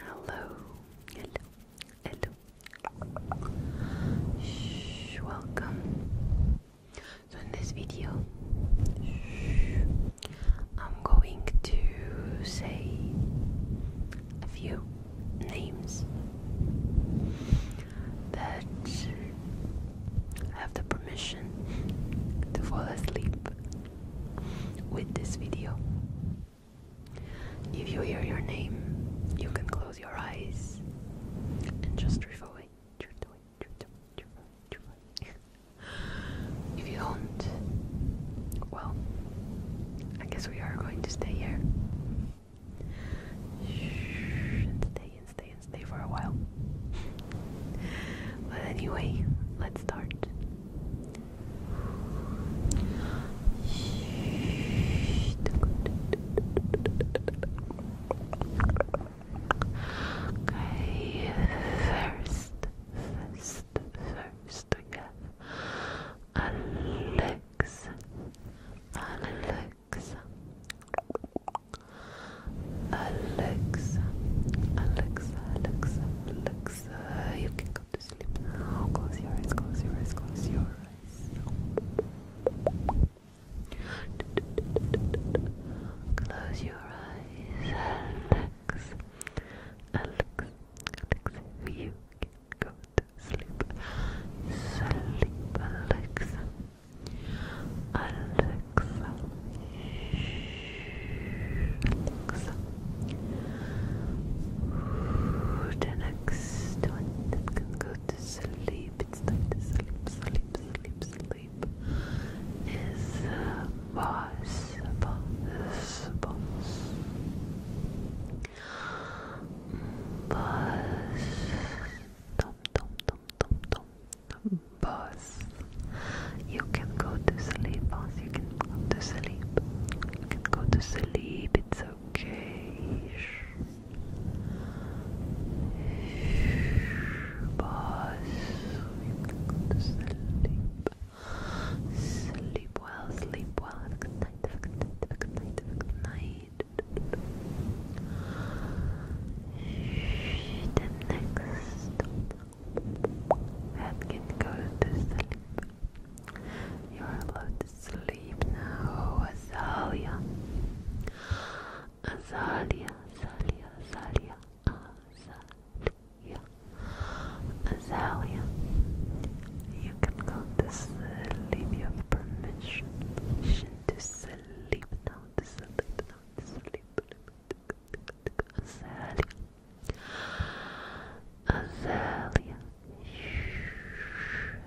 Hello, hello, hello. Shh, welcome. So in this video, I'm going to say a few names that have the permission to fall asleep with this video. If you hear your name, you can close your eyes and just drift away. if you don't, well, I guess we are going to stay here. And stay and stay and stay for a while. But anyway, let's start. Okay, first, first, first we have Alex, Alex, Alexa, Alexa, Alexa, Alexa, you can go to sleep now. Close your eyes, close your eyes, close your eyes. Close your eyes, Alex. Alex, Alex, you can go to sleep. Sleep, Alexa. Alexa, the next one that can go to sleep, it's time to sleep, sleep, sleep, sleep, is uh, boss, boss, boss. Buzz, tom, tom, tom, tom, tom, bus. You can go to sleep, boss. You can go to sleep. You can go to sleep. It's okay. Boss, you can go to sleep. Sleep well, sleep well. good night. good night. good night. good night. The next and can go to sleep. You are allowed to sleep now, Azalia. Azalea, Azalea, Azalea, Azalea. Azalea, you can go to sleep. You permission to sleep now, to sleep now, to sleep. Azalea. Azalea.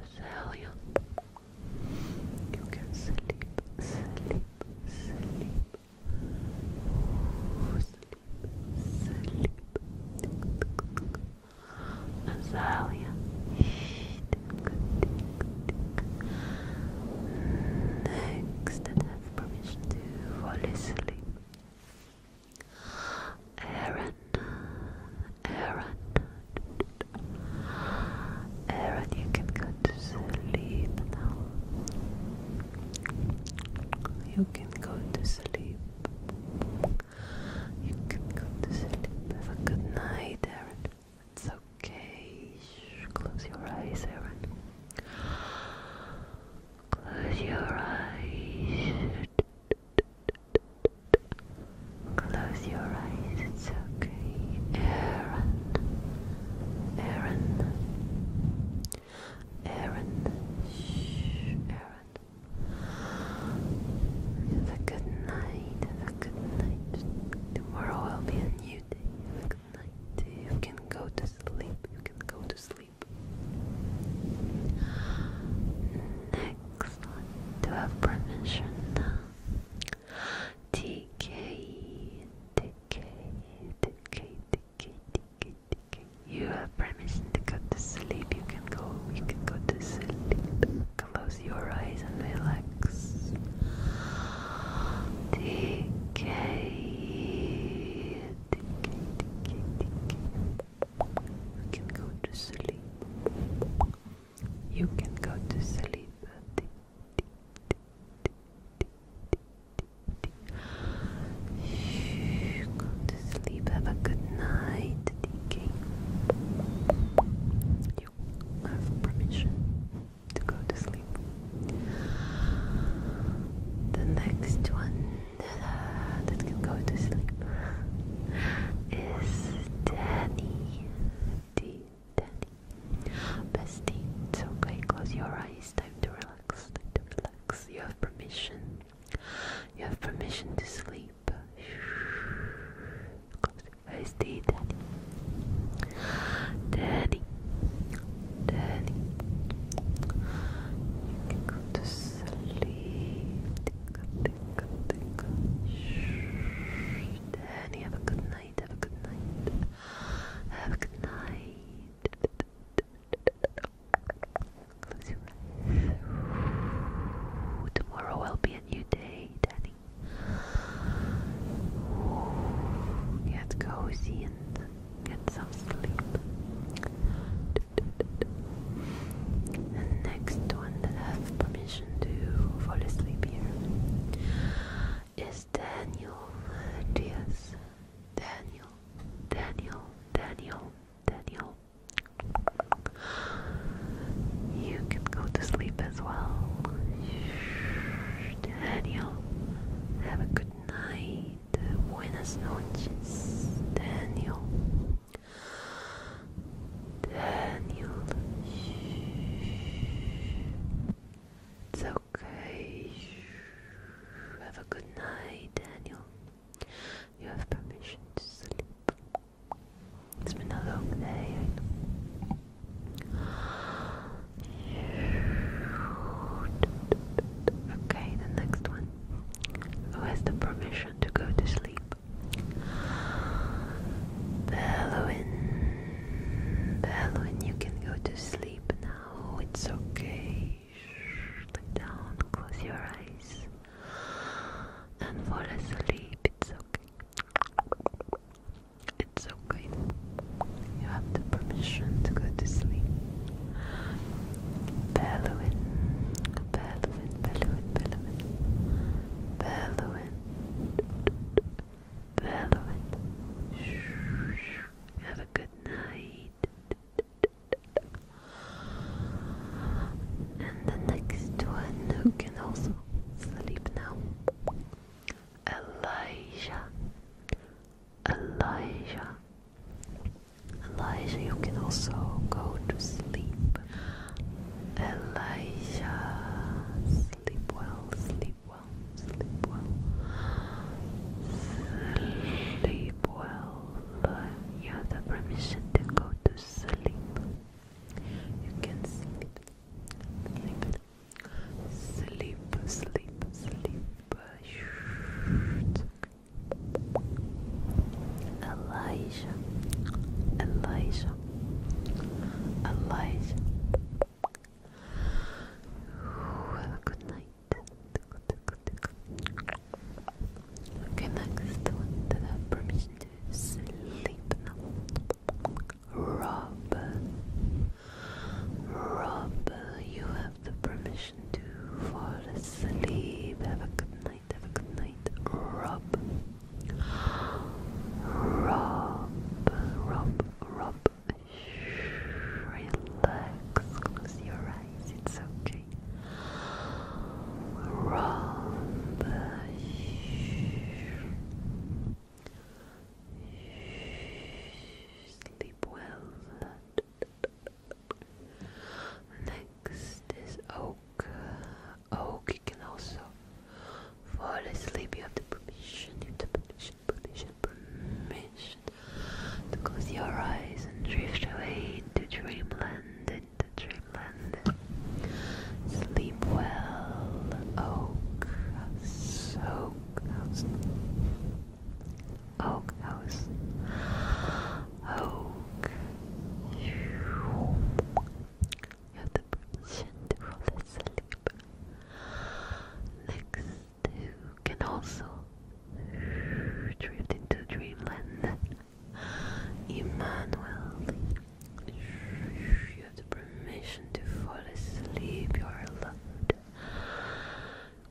Azalea. You can sleep, sleep, sleep. Ooh, sleep, sleep. Azalea. Next have permission to fall asleep. Aaron, Aaron, Aaron, you can go to sleep now. You can go to sleep. You can go to sleep. Have a good night, Aaron. It's okay. Close your eyes, Aaron. Close your eyes. Close your eyes, it's okay. Aaron. Aaron. Aaron. Shh, Aaron. Have a good night. Have a good night. Tomorrow will be a new day. Have a you can go to sleep. You can go to sleep. Next do I have permission now? TK, You have permission to go to sleep. You can go. You can go to sleep. Close your eyes and relax decay, You can go to sleep. You can go to sleep. Shh, go to sleep. Have a good night, You have permission to go to sleep. The next one uh, that can go to sleep is Danny. D. Danny. Bestie, it's okay. Close your eyes. Time to relax. to relax. You have permission. You have permission to sleep. Close your always day, Daddy. go to sleep. Tickle, have a good night. Have a good night. Have a good night. Tomorrow will be a new day, Daddy. Get cozy and get some sleep. And next one that I have permission to fall asleep here is Daniel Diaz. Daniel, Daniel, Daniel, Daniel. You can go to sleep as well. Daniel. Have a good night. Buenas noches, Daniel. Daniel. It's okay. Have a good night, Daniel. You have permission to sleep. It's been a long day, Okay, the next one. Who has the permission to go to sleep? Bellowin. Bellowin, you can go to sleep now. It's okay. Look down, close your eyes. And fall asleep. It's okay. It's okay. You have the permission to go to sleep. Belluin, Belluin, Belluin, Belluin, Belluin, Belluin. Have a good night. And the next one who can also sleep now. Elijah, Elijah, Elijah. You can also go to sleep. Elijah, sleep well, sleep well, sleep well, sleep well. You have the permission to go to sleep. You can sleep, sleep, sleep, sleep, sleep. Elijah, Elijah, Elijah. good night. Okay, next one that have to sleep now. Rob. Rob, you have the permission to fall asleep. Have a good night, have a good night. Rob. Rob, Rob, Rob. Shh, relax, close your eyes, it's okay. Rob, shh. Sleep well. Next is oak. Oak, you can also fall asleep. You have the permission, you have the permission, permission, close your eyes and drift away into dreamland, into dreamland. Sleep well, Oak House, Oak House, Oak House, Oak. You have the permission to fall asleep. Next, you can also drift into dreamland. Emmanuel you have the permission to fall asleep. You are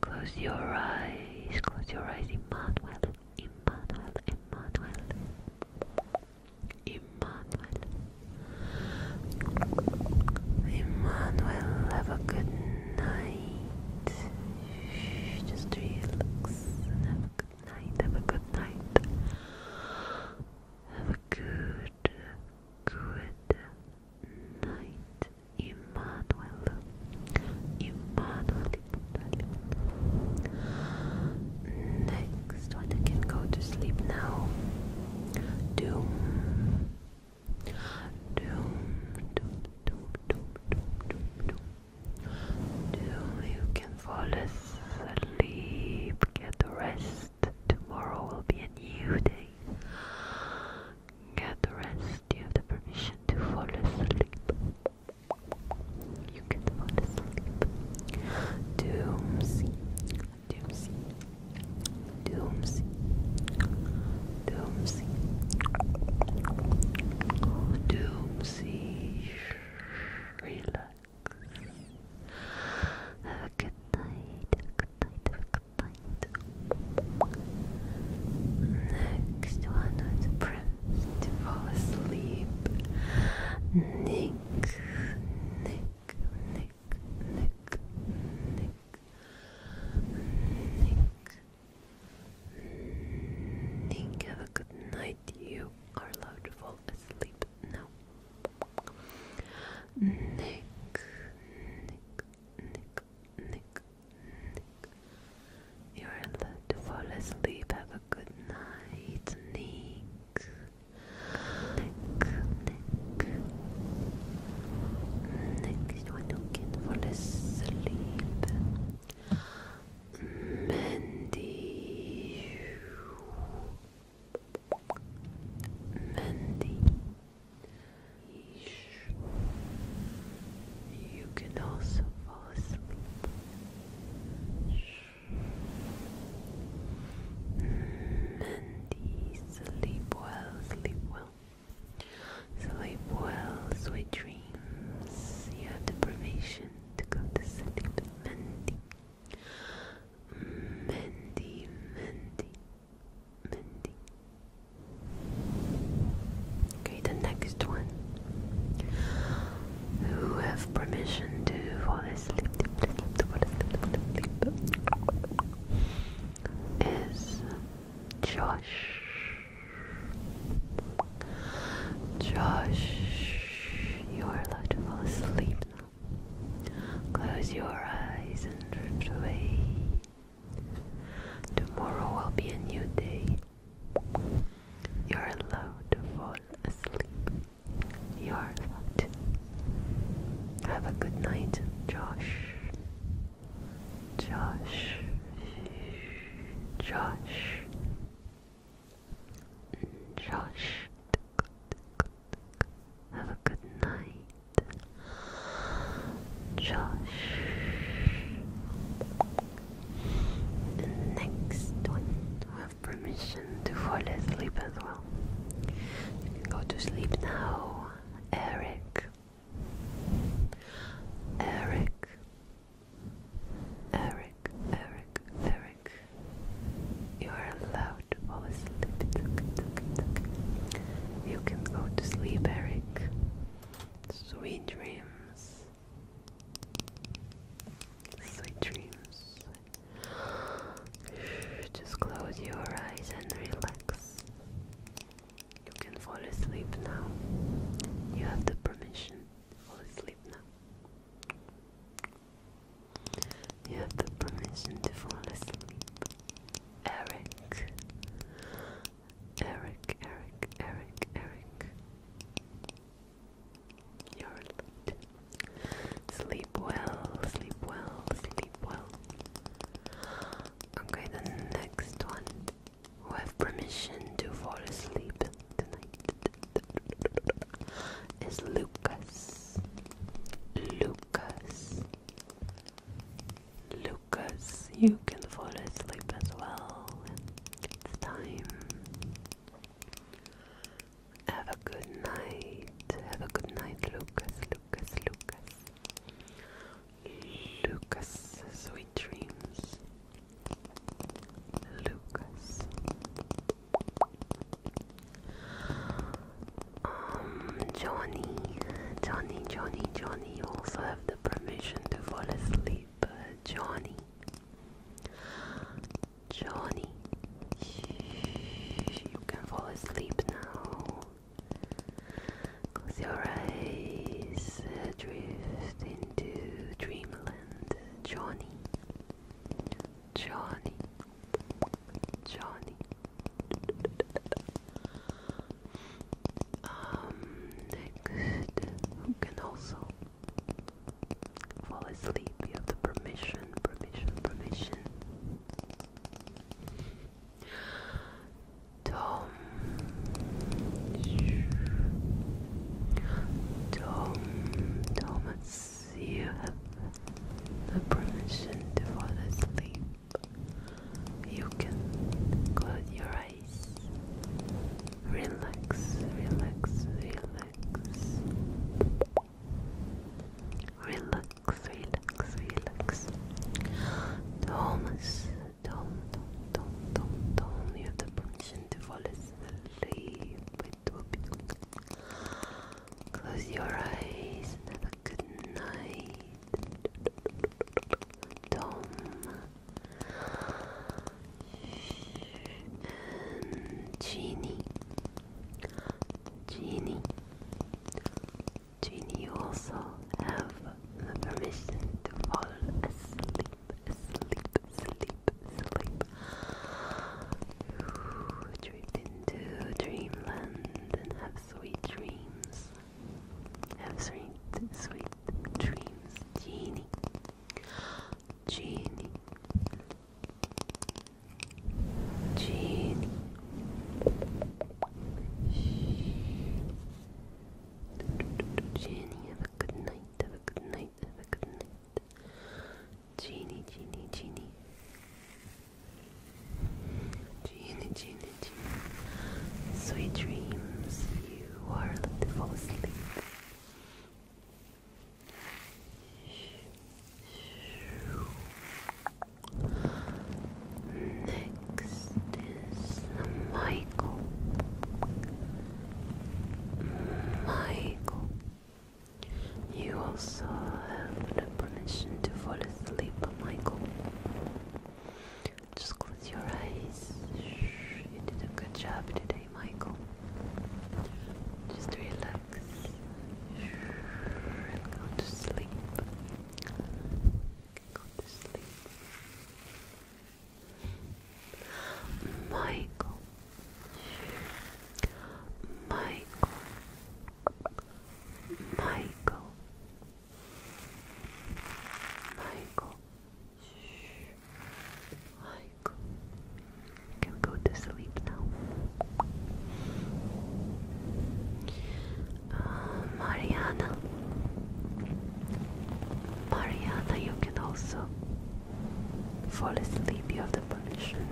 Close your eyes. Close your eyes, Emmanuel. Emmanuel. Emmanuel. Emmanuel. Emmanuel, have a good night. Just relax have a good night. Have a good night. Have a good, good night, Emmanuel. Emmanuel. Next I can go to sleep now. Doom. Doom. Doom. Doom. Doom. Doom. Doom. Doom. You can fall asleep. Get rest tomorrow will be a new day. Get the rest, you have the permission to fall asleep. You can fall asleep. Doomsy, doomsy, doomsy, doomsy, doomsy. Relax. Have a good night. Have a good night. Have a good night. Next one was to fall asleep. Nick, Nick, Nick, Nick, Nick, Nick. Nick, have a good night. You are loved fall asleep now. Nick, Nick, Nick, Nick, Nick. You're allowed to fall asleep. Have a good night, Nick. Nick, Nick. Nick, you do fall asleep. Mandy. Mandy. You can also fall asleep. Mandy, sleep well, sleep well. Sleep well, sweet dreams. You have the permission to go to sleep, Mandy. Mindy, Mindy, Mindy. Okay, the next one. Who have permission to fall asleep is Josh. Josh, you are allowed to fall asleep Close your eyes and drift away. Tomorrow will be a new day. You're allowed to fall asleep. You're allowed. Have a good night, Josh. Josh. Josh. Josh, have a good night. Josh. The next one, have permission to fall asleep as well. You can go to sleep now, Eric. Eric. Eric, Eric, Eric. You are allowed to fall asleep. You can go to sleep, Eric. Sweet dreams. Sweet dreams. Just close your eyes and relax. You can fall asleep now. You have the permission. Fall asleep now. You have the permission to fall asleep. Eric. Eric, Eric, Eric, Eric. You're late. Sleep well, sleep well, sleep well. Okay, the next one. Who have permission to fall asleep tonight? is Lucas. Lucas. Lucas, you can fall asleep as well. It's time. Have a good night. Have a good night, Lucas, Lucas, Lucas. Lucas, sweet dreams. Lucas. Um, Johnny, Johnny, Johnny, Johnny. You also have the permission to fall asleep, uh, Johnny. Johnny, Shh, you can fall asleep now. Close your eyes, drift into dreamland, Johnny. Johnny, Johnny. Um, next, who can also fall asleep? You the permission, permission, permission. Tom, Tom, Thomas. Yes, you have the permission to fall asleep. You can close your eyes. Relax, relax, relax. Relax, relax, relax. Thomas, Tom, Tom, Tom, Tom, Tom, you have the permission to fall asleep sleep. Close your eyes and have a good night. Tom and Jeannie. Jeannie. Jeannie, you also have the permission to fall asleep, asleep, asleep sleep. Drift into dreamland and have sweet dreams. Have sweet, sweet dreams, Genie. Genie. Genie. Shh. Genie, have a good night. Have a good night. Have a good Genie, genie, genie. Genie, genie, genie. Sweet dreams. You are to fall asleep. Next is Michael. Michael. You also have the permission to fall asleep, Michael. Just close your eyes. You did a good job today, Michael. Just relax and go to sleep. Go to sleep. Michael, Michael, Michael, Michael. Michael, you can go to sleep now. Uh, Mariana, Mariana, you can also fall asleep, you have the permission.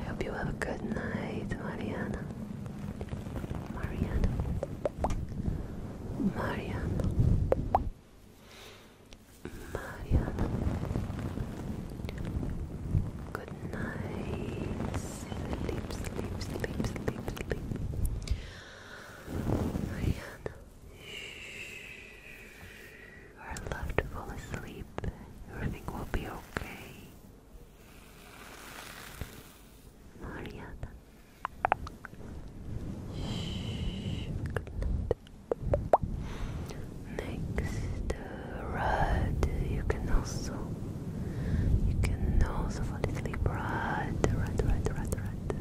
I hope you have a good night, Mariana. Mariana. Mariana. Mariana. Good night. Sleep, sleep, sleep, sleep, sleep. Mariana. I left to fall asleep, everything will be okay. Mariana. Next uh, red, you can also you can also fall asleep. Red, red, red, red, red.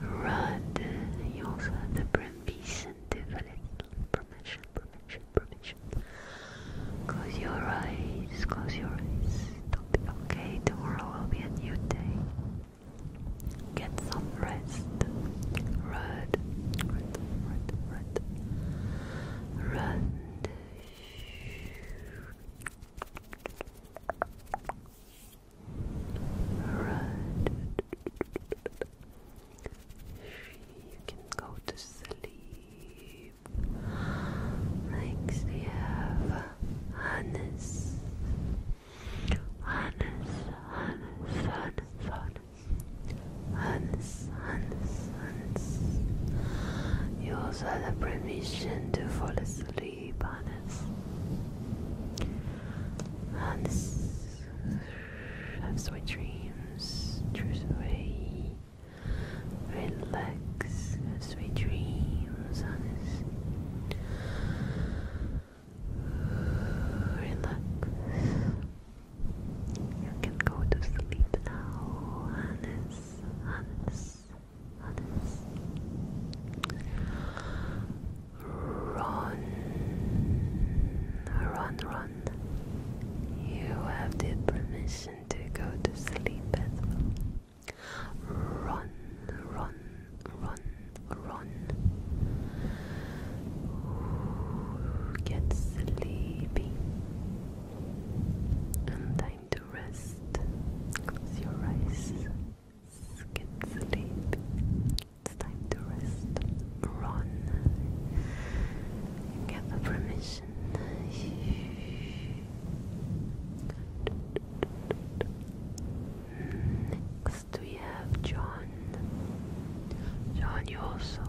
Rod, you also have the permission Permission, permission, Close your eyes, close your eyes. do okay, tomorrow will be a new day. Get some rest. Rod, Rod, Rod. Rod. Alright. You can go to sleep. Next we have Hannes. Hannes, Hannes, Hannes, Hannes. Hannes, Hannes, Hannes. You also have permission to fall asleep free bonus. Hans have sweet dreams, true Relax, sweet dreams, Hannes. Relax. You can go to sleep now, Hannes. Hannes. Run, run, run. You have the permission to go to sleep Run, run, run, run. get sleepy time to rest. Close your eyes. Skip sleep. It's time to rest. Run. Get the permission. Next we have John. John, you also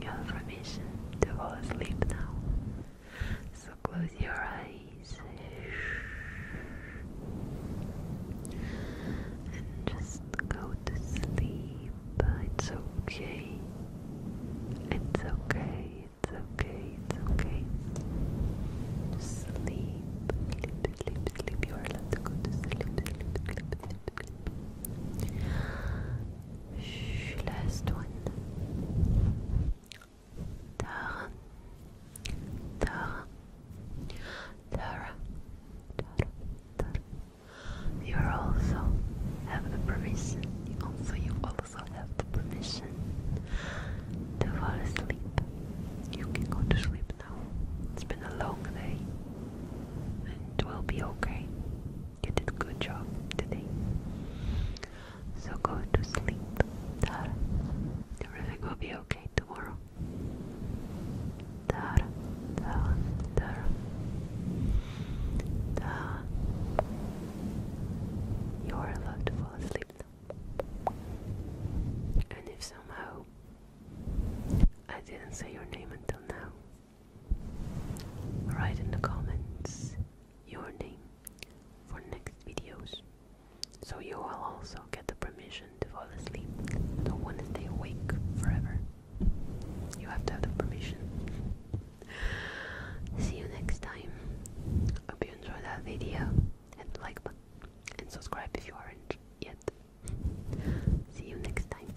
get permission to fall asleep now. So close your eyes and just go to sleep. It's okay. It's okay. It's okay. It's okay. Sleep. Sleep, sleep, sleep. You are allowed to go to sleep. Sleep, sleep, sleep. Shh, last one. Tara, Tara, Tara, Tara, Tara. You also have the permission. Also, you also have the permission to fall asleep. You can go to sleep now. It's been a long day, and it will be okay. You did a good job today. So go to sleep, Tara. Everything will be okay tomorrow. Tara, Tara, Tara. You are allowed to fall asleep. And if somehow I didn't say your name until now, write in the comments your name for next videos. So you will also get the permission to fall asleep. Don't want to stay awake forever. You have to have the permission. See you next time. Hope you enjoyed that video. Hit the like button and subscribe if you aren't yet. See you next time.